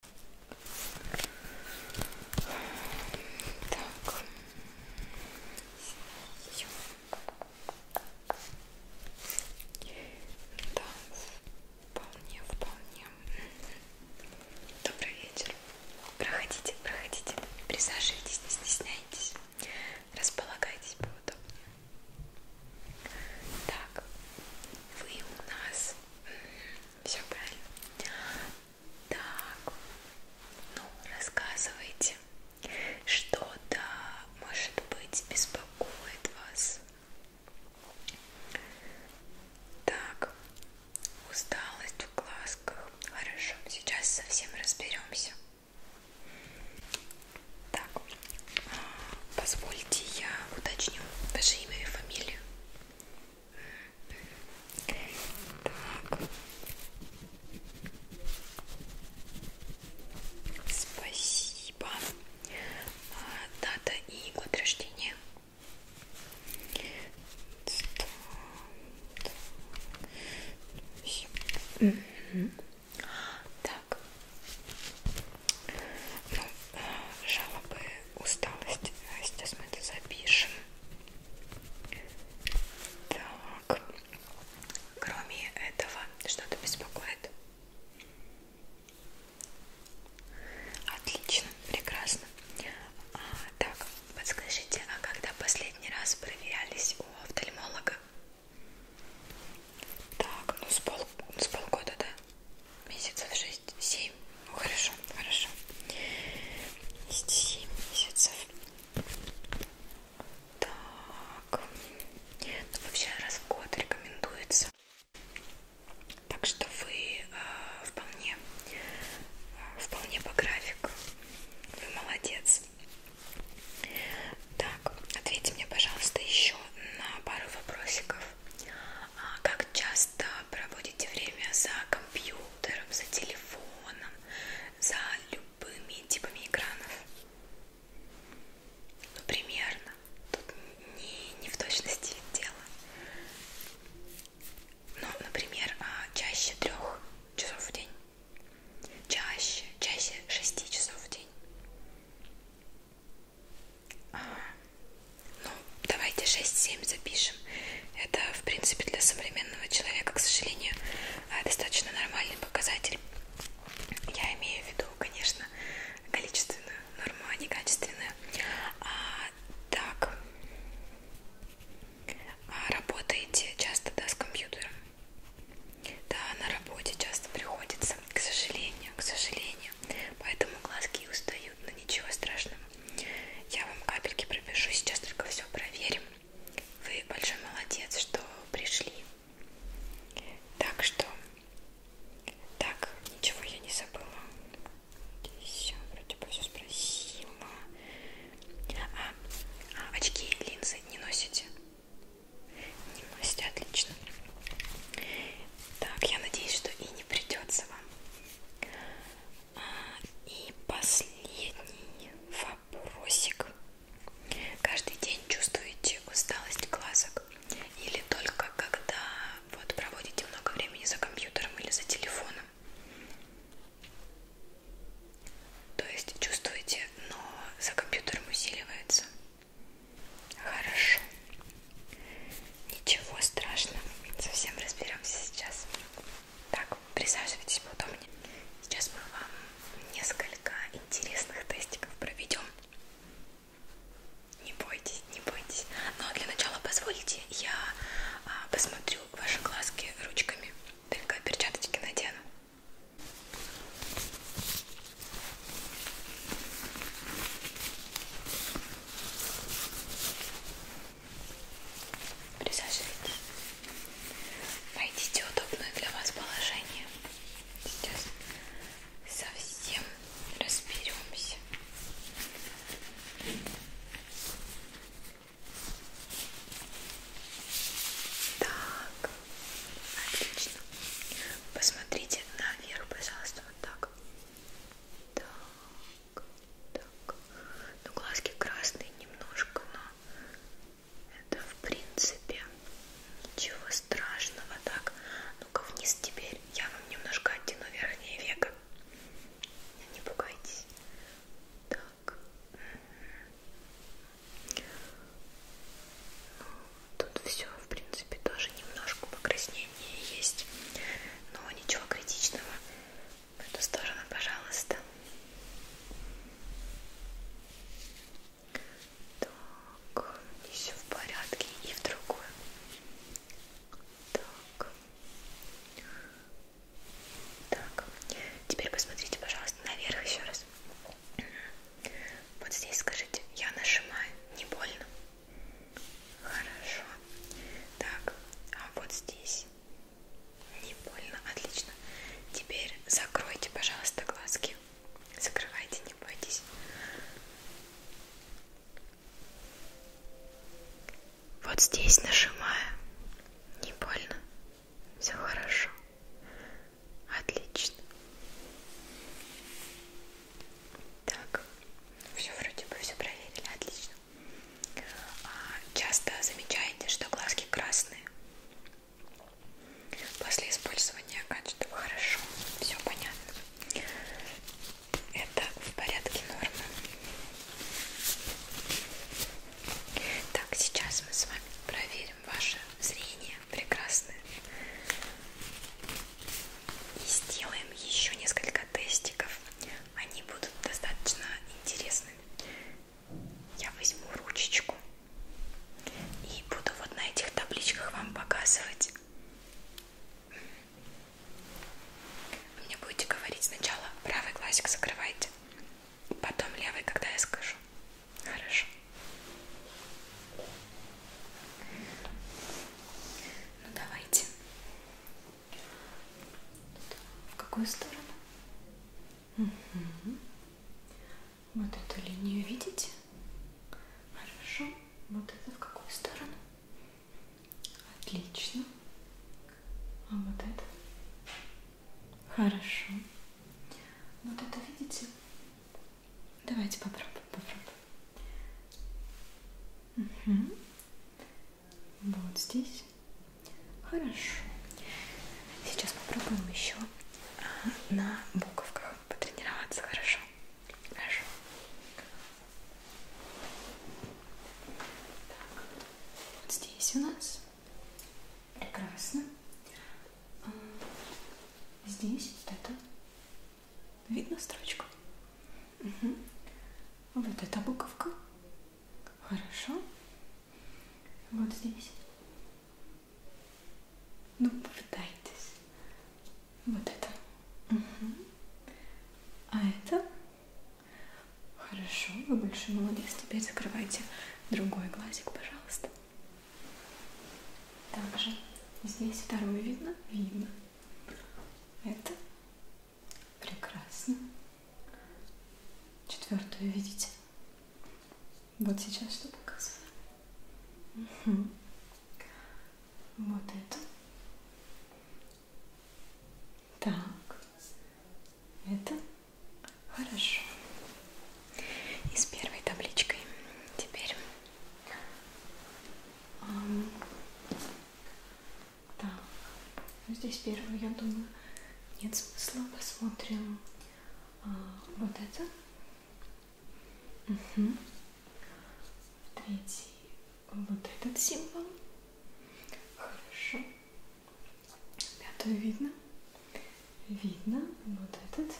Так. Да, вполне, вполне. Добрый вечер. Проходите, проходите. Присаживайтесь, не стесняйтесь. Располагайтесь поудобнее. Так, вы у нас все правильно. Так, ну, рассказывайте, что-то, может быть, беспокоит вас. Так, усталость в глазках. Хорошо, сейчас совсем разберемся. Так, а, позвольте я уточню ваше имя и фамилию. Так. Спасибо. А, дата и год рождения. Так. Ну, жалобы, усталость. Сейчас мы это запишем. Так. Кроме этого, что-то беспокоит? Отлично, прекрасно. А, так, подскажите, а когда последний раз проверялись у офтальмолога? Так, ну с, пол, с полгода, да? месяцев шесть, семь. Ну, хорошо, хорошо. Семь месяцев. Так. Ну, вообще раз в год рекомендуется. Так что вы э, вполне, э, вполне по графику. Вы молодец. Так, ответьте мне, пожалуйста, еще на пару вопросиков. А как часто проводите время за компьютером, за телефоном, за любыми типами экранов. Ну, примерно. Тут не, не в точности дело. Ну, например, а, чаще трех часов в день. Чаще, чаще шести часов в день. А, ну, давайте 6-7 запишем. Это, в принципе, для современного человека, к сожалению, э, достаточно нормальный показатель. Я имею в виду, конечно, количественную норму, а не качественную. А, так, а работаете часто, да, с компьютером? Да, на работе часто приходится глазом, к сожалению, к сожалению. Поэтому глазки устают, но ничего страшного. Я вам капельки пропишу, сейчас только все проверим. Вы большой молодец, что пришли. Так что, так, ничего я не забыла. Все, вроде бы все спросила. А, а очки, линзы не носите? Не носите, отлично. Так, я надеюсь, что и не придется вам. А, и последний вопросик. Каждый день чувствуете усталость глазок? Или только когда вот проводите много времени за компьютером или за телефоном? То есть чувствуете, но за компьютером усиливается? Хорошо. Ничего страшного. Совсем разберемся сейчас. Так, присаживайтесь поудобнее. Сейчас мы вам несколько интересных тестиков проведем. Не бойтесь, не бойтесь. Но для начала позвольте, я а, посмотрю ваши глазки ручками. Только перчаточки надену. Присаживайтесь. Найдите удобное для вас положение. Сейчас совсем разберемся. Так, отлично. Посмотрите наверх, пожалуйста просто вот так. Так, так. Ну, глазки красные немножко, но это в принципе ничего страшного. Так, ну-ка вниз теперь. Я вам немножко оттяну верхнее веко. Не пугайтесь. Так. Ну, тут все, в принципе, тоже немножко покраснение есть, но ничего критичного. В эту сторону, пожалуйста. Так, и все в порядке, и в другую. Так. Так, теперь посмотрите, пожалуйста, наверх еще раз. Вот здесь скажите, я нажимаю, не больно? Хорошо. Так, а вот здесь не больно, отлично. Теперь закройте, пожалуйста, глазки. Закрывайте, не бойтесь. Вот здесь нажимаю. Не больно. Все хорошо. Отлично. Так, все вроде бы все проверили, отлично. А часто замечаете, что глазки красные. После использования качества хорошо, все понятно. Это в порядке нормы. Так, сейчас мы с вами проверим ваше зрение прекрасное и сделаем еще несколько тестиков. Они будут достаточно интересными. Я возьму ручечку и буду вот на этих табличках вам показывать. Вы мне будете говорить сначала правый глазик закрывайте, потом левый, когда я скажу. Хорошо. Ну давайте. В какую сторону? Угу. Вот эту линию видите? Хорошо. Вот это в какую сторону? Отлично. А вот это? Хорошо. Вот это видите? Давайте попробуем, попробуем. Угу. Вот здесь. Хорошо. Сейчас попробуем еще а, на буковках потренироваться. Хорошо? Хорошо. Так. Вот здесь у нас. Прекрасно. А, здесь вот это. Видно строчку? Угу. Вот эта буковка. Хорошо. Вот здесь. Ну, попытайтесь. Вот это. Угу. А это? Хорошо, вы большой молодец. Теперь закрывайте другой глазик, пожалуйста. Также здесь второе видно? Видно. Это прекрасно. Четвертую видите? Вот сейчас что показываю. Угу. Вот это. Так. Это хорошо и с первой табличкой. Теперь эм, да. Ну, здесь первую, я думаю, нет смысла. Посмотрим э, вот это. Угу. Третий вот этот символ. Хорошо. Пятую видно. Видно вот этот.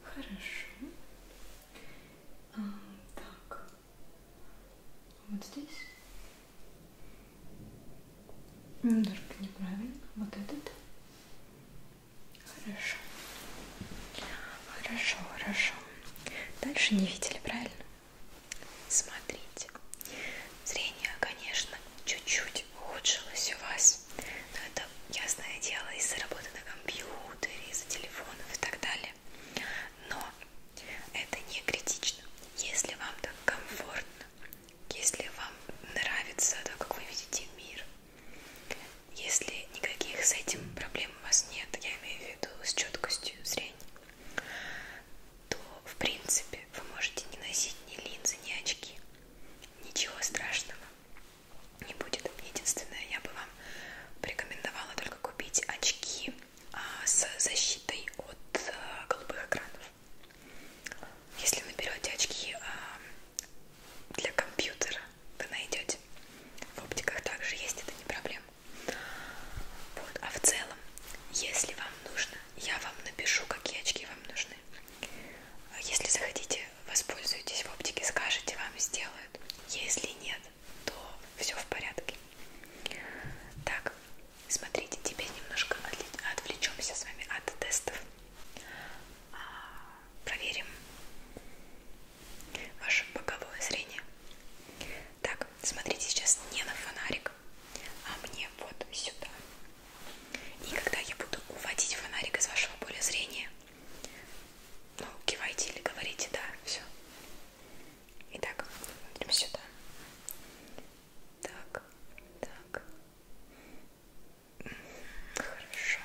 Хорошо. А, так. Вот здесь. Немножко неправильно. Вот этот. Хорошо. Хорошо, хорошо. Дальше не видели, правильно? Смотрите. Зрение, конечно, чуть-чуть чуть-чуть ухудшилось у вас. Но это ясное дело из-за работы на компьютере, из-за телефонов и так далее. Но это не критично. Если вам так комфортно, если вам нравится то, как вы видите мир, если никаких с этим проблем у вас нет, я имею в виду с четкостью зрения, то в принципе вы можете не носить ни линзы, ни очки. Ничего страшного не будет. Единственное, я бы вам порекомендовала только купить очки а, с защитой от э, голубых экранов. Если наберете очки а, для компьютера, вы найдете. В оптиках также есть, это не проблема. Вот. А в целом, если вам нужно, я вам напишу, какие очки вам нужны. Если захотите воспользуйтесь в оптике, скажете, вам сделают. Если нет, то все в порядке. Так, смотрите, теперь немножко отвлечемся с вами от тестов. А, проверим ваше боковое зрение. Так, смотрите сейчас не на фонарик, а мне вот сюда. И когда я буду уводить фонарик из вашего поля зрения, ну, кивайте или говорите, да, все. Итак, смотрим сюда. Так, так. Хорошо.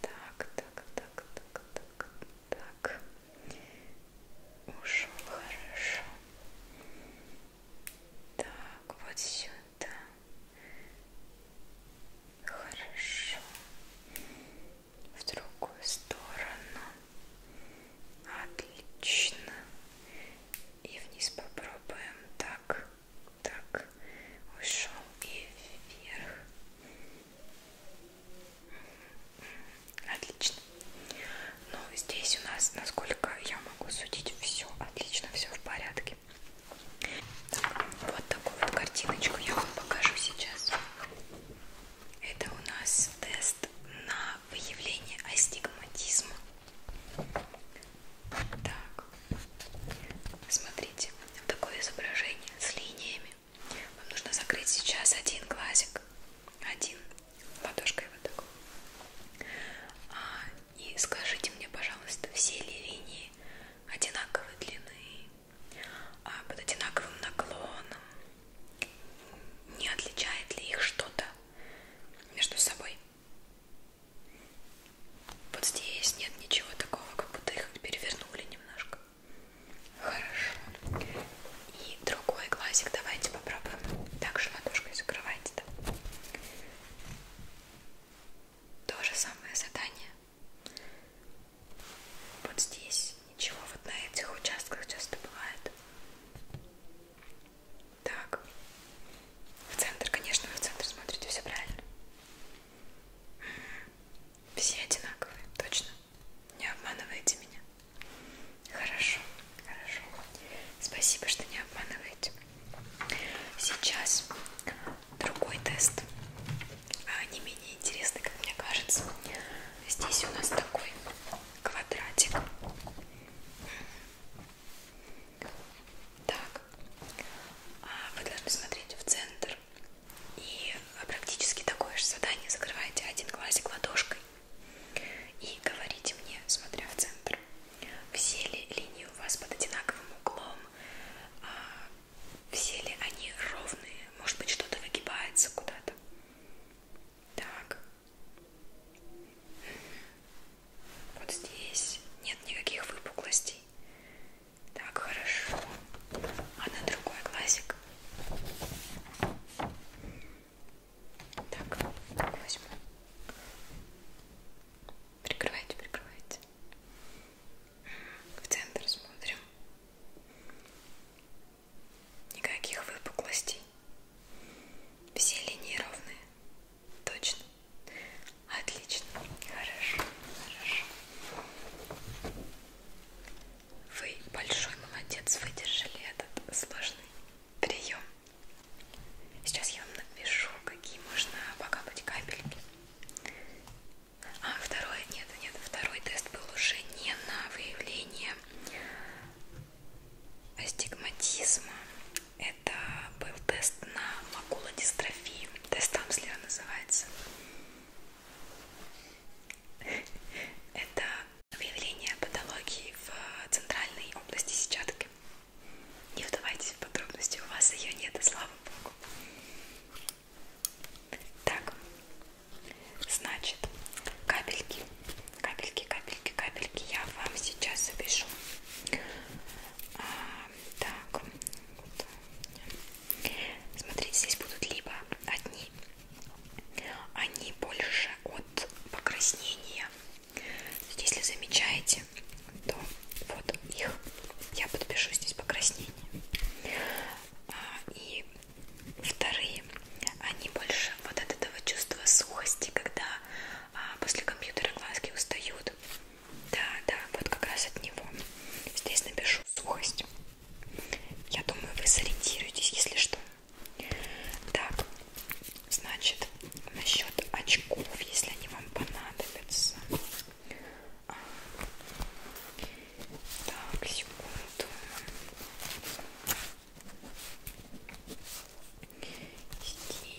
Так, так, так, так, так, так. Ушел хорошо. Так, вот сюда да. Хорошо. В другую сторону. Отлично. И вниз попробуем. Так, так. Ушел и вверх. Отлично. Ну, здесь у нас, насколько я могу судить все отлично, все в порядке. Так, вот такую вот картиночку я вам покажу сейчас. Это у нас тест на выявление астигматизма. Так, смотрите, такое изображение с линиями. Вам нужно закрыть сейчас один глазик, один ладошкой вот такой. А и скажите мне, пожалуйста, все ли линии одинаковой длины, а под одинаковым наклоном? Не отличает ли их что-то между собой? Вот здесь нет ничего такого, как будто их перевернули немножко. Хорошо. И другой глазик давайте попробуем. Также ладошкой закрывайте. Да? То же самое задание. Вот здесь ничего, вот на этих участках часто бывает. Так. В центр, конечно, вы в центр смотрите, все правильно. Все одинаковые, точно. Не обманывайте меня. Хорошо, хорошо. Спасибо, что не обманываете. Сейчас другой тест, а, не менее интересный, как мне кажется. Здесь у нас такой квадратик. Так, а, вы должны смотреть в центр и а, практически такое же задание. Закрываете один глазик ладошкой и говорите мне, смотря в центр все ли линии у вас под одинаковым углом, а, все ли они ровные, может быть что-то выгибается куда-то. Так. Вот здесь нет никаких выпуклостей. Так, хорошо. А на другой глазик. Так, возьму. Прикрывайте, прикрывайте. В центр смотрим. Никаких выпуклостей. Все линии ровные. Точно. Отлично. Хорошо. Хорошо. Вы большой молодец, выдержали этот сложный прием. Сейчас я вам напишу, какие можно покапать капельки. А второй, нет, нет, второй тест был уже не на выявление астигматизма. Это был тест на макулодистрофию. Тест Амслера называется. Это выявление патологии в центральной области сетчатки. Не вдавайтесь в подробности, у вас ее нет, и слава богу. Так, значит, капельки, капельки, капельки, капельки я вам сейчас запишу. А, так, вот. смотрите, здесь будут либо одни, они больше от покраснения если замечаете, то вот их я подпишу здесь покраснение. А, и вторые, они больше вот от этого чувства сухости, когда а, после компьютера глазки устают. Да, да, вот как раз от него. Здесь напишу сухость. Я думаю, вы сориентируетесь, если что. Так, значит, насчет очков, если они вам понадобятся. А, так, секунду.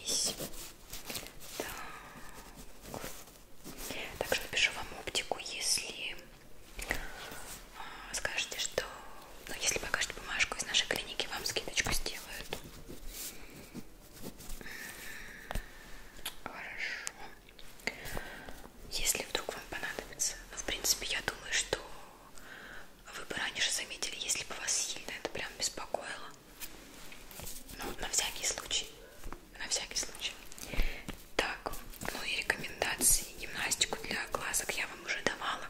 Здесь. Так. Также напишу вам оптику, если а, скажете, что но ну, если покажете бумажку из нашей клиники, вам скидочку сделают. Хорошо. Если вдруг вам понадобится, ну, в принципе, я думаю, что вы бы раньше заметили, если бы вас сильно это прям беспокоило. Ну, на всякий случай. На всякий случай. Так, ну и рекомендации гимнастику для глазок я вам уже давала.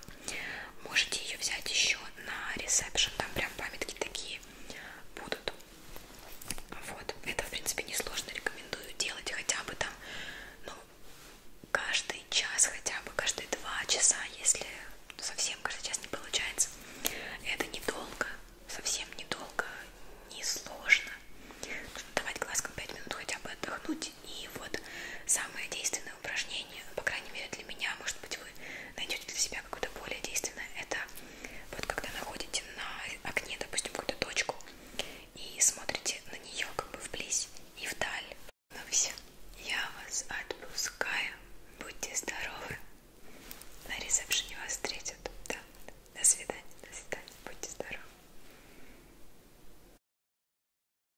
Можете ее взять еще на ресепшн, там прям памятки такие будут. Вот, это в принципе несложно, рекомендую делать хотя бы там, ну, каждый час, хотя бы каждые два часа, если совсем каждый час не получается. Это недолго, совсем недолго, несложно. Нужно давать глазкам 5 минут хотя бы отдохнуть и вот самое действенное упражнение, по крайней мере для меня, может быть вы найдете для себя какое-то более действенное, это вот когда находите на окне, допустим, какую-то точку и смотрите на нее как бы вблизь и вдаль. Ну все, я вас отпускаю. Будьте здоровы. На ресепшене вас встретят. Да. До свидания, до свидания. Будьте здоровы.